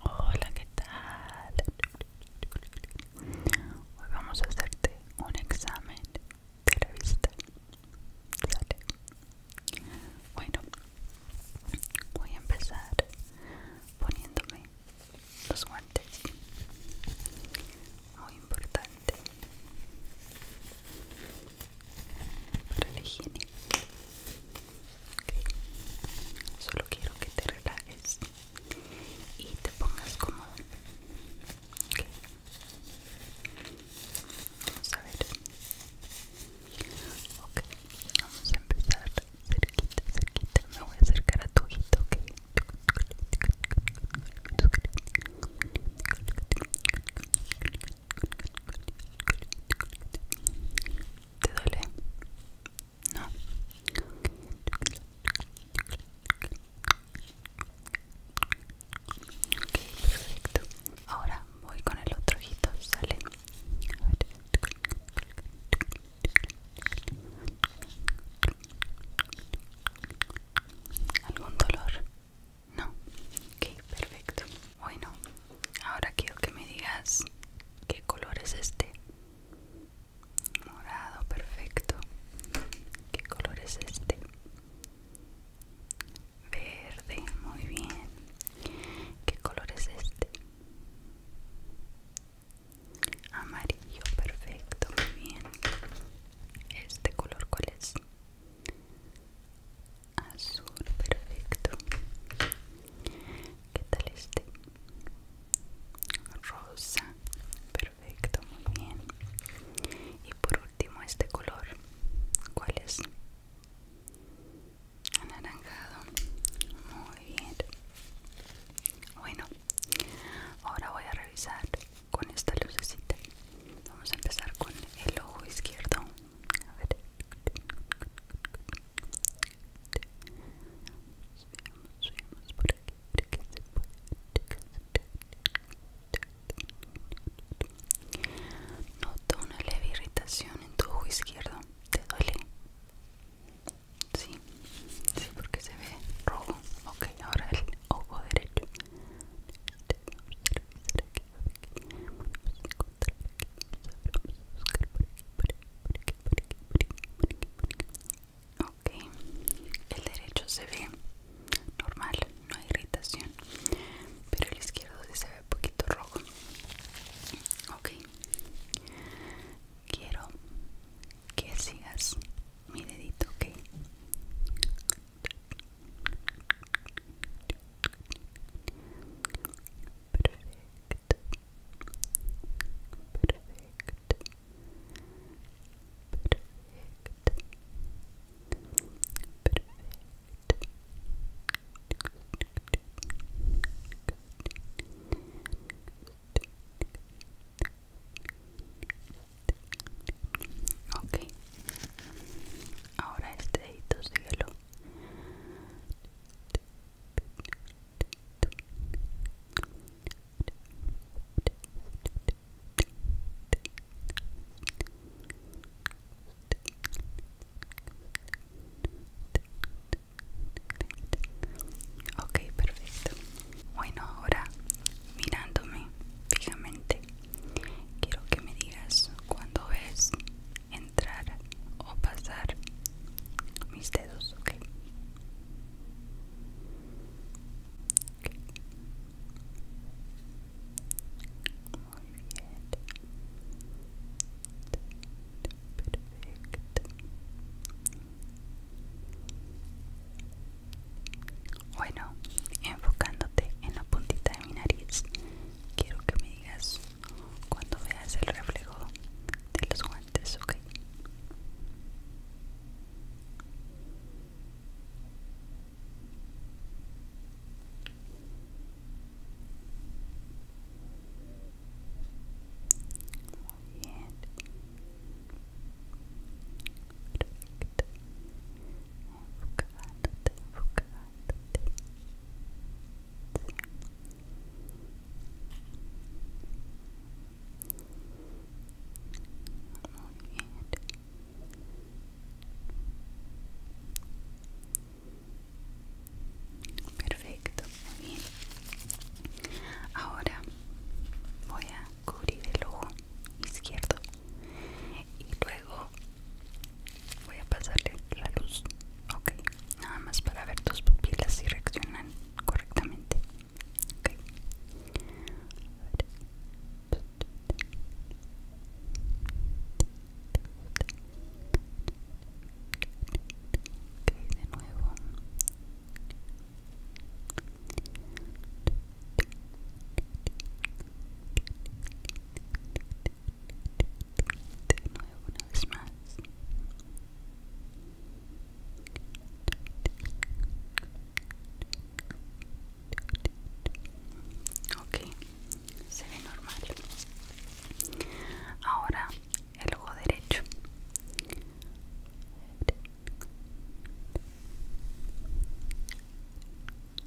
Hola, ¿qué tal? Hoy vamos a hacerte un examen de la vista. Bueno, voy a empezar poniéndome los guantes. Muy importante para la higiene solo quiero que te relajes y te pongas cómodo vamos a ver ok vamos a empezar cerquita cerquita me voy a acercar a tu ojito ok ¿Te duele? No. Ok, perfecto. Ahora voy con el otro ojito, ¿sale? ¿Algún dolor? No. Ok, perfecto. Bueno, Ahora quiero que me digas qué color es este. Morado, perfecto. ¿Qué color es este? Verde, muy bien. ¿Qué color es este? Amarillo, perfecto, muy bien. ¿Este color cuál es? azul, perfecto. ¿Qué tal este? Rosa, perfecto, muy bien. Y por último este color, ¿cuál es? Anaranjado, muy bien. Bueno, ahora voy a revisar con esta lucecita. Vamos a empezar con el ojo izquierdo. A una leve irritación en tu ojo izquierdo. ¿Te duele? Sí, sí, porque se ve rojo. Ok, ahora el ojo derecho. Ok, el derecho se ve normal, no hay irritación, pero el izquierdo se ve un poquito rojo. Ok, quiero que sigas mi dedito, ok. Perfecto. Perfecto. Perfecto. Perfecto. Ok, ahora este dedito síguelo Okay, perfecto. Bueno, ahora mirándome fijamente, quiero que me digas cuándo es entrar o pasar mis dedos, ok. Muy bien. Perfecto. Bueno, enfocándote en la puntita de mi nariz, quiero que me digas cuando veas el reflejo de los guantes, ¿ok? Muy bien. Perfecto. Enfocándote, enfocándote. Perfecto, muy bien. Ahora voy a cubrir el ojo izquierdo y luego voy a pasarle la luz ok nada más para ver tus pupilas si reaccionan correctamente de nuevo te una vez más. Ok, se ve normal. Ahora el ojo derecho.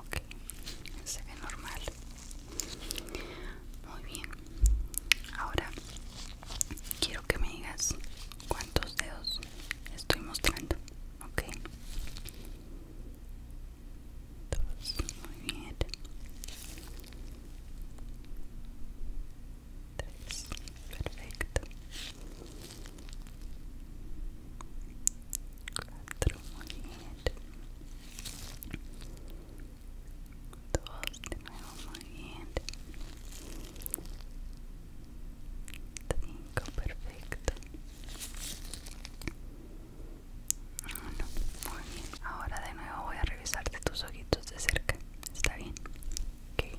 Ok, se ve normal. Muy bien. Ahora quiero que me digas cuántos dedos estoy mostrando. Ok. Dos, muy bien. Tres, perfecto cuatro muy bien dos de nuevo muy bien cinco perfecto uno muy bien ahora de nuevo voy a revisarte tus ojitos de cerca está bien ok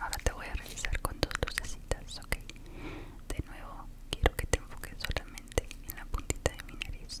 Ahora te voy a revisar con dos lucecitas, ok. De nuevo, quiero que te enfoques solamente en la puntita de mi nariz.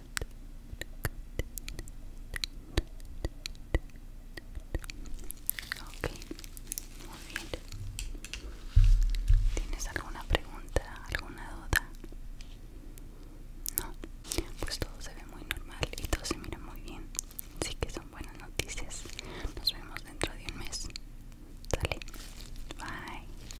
Ok, muy bien. ¿Tienes alguna pregunta, alguna duda? No, pues todo se ve muy normal y todo se mira muy bien. Así que son buenas noticias. Nos vemos dentro de un mes. Dale, bye.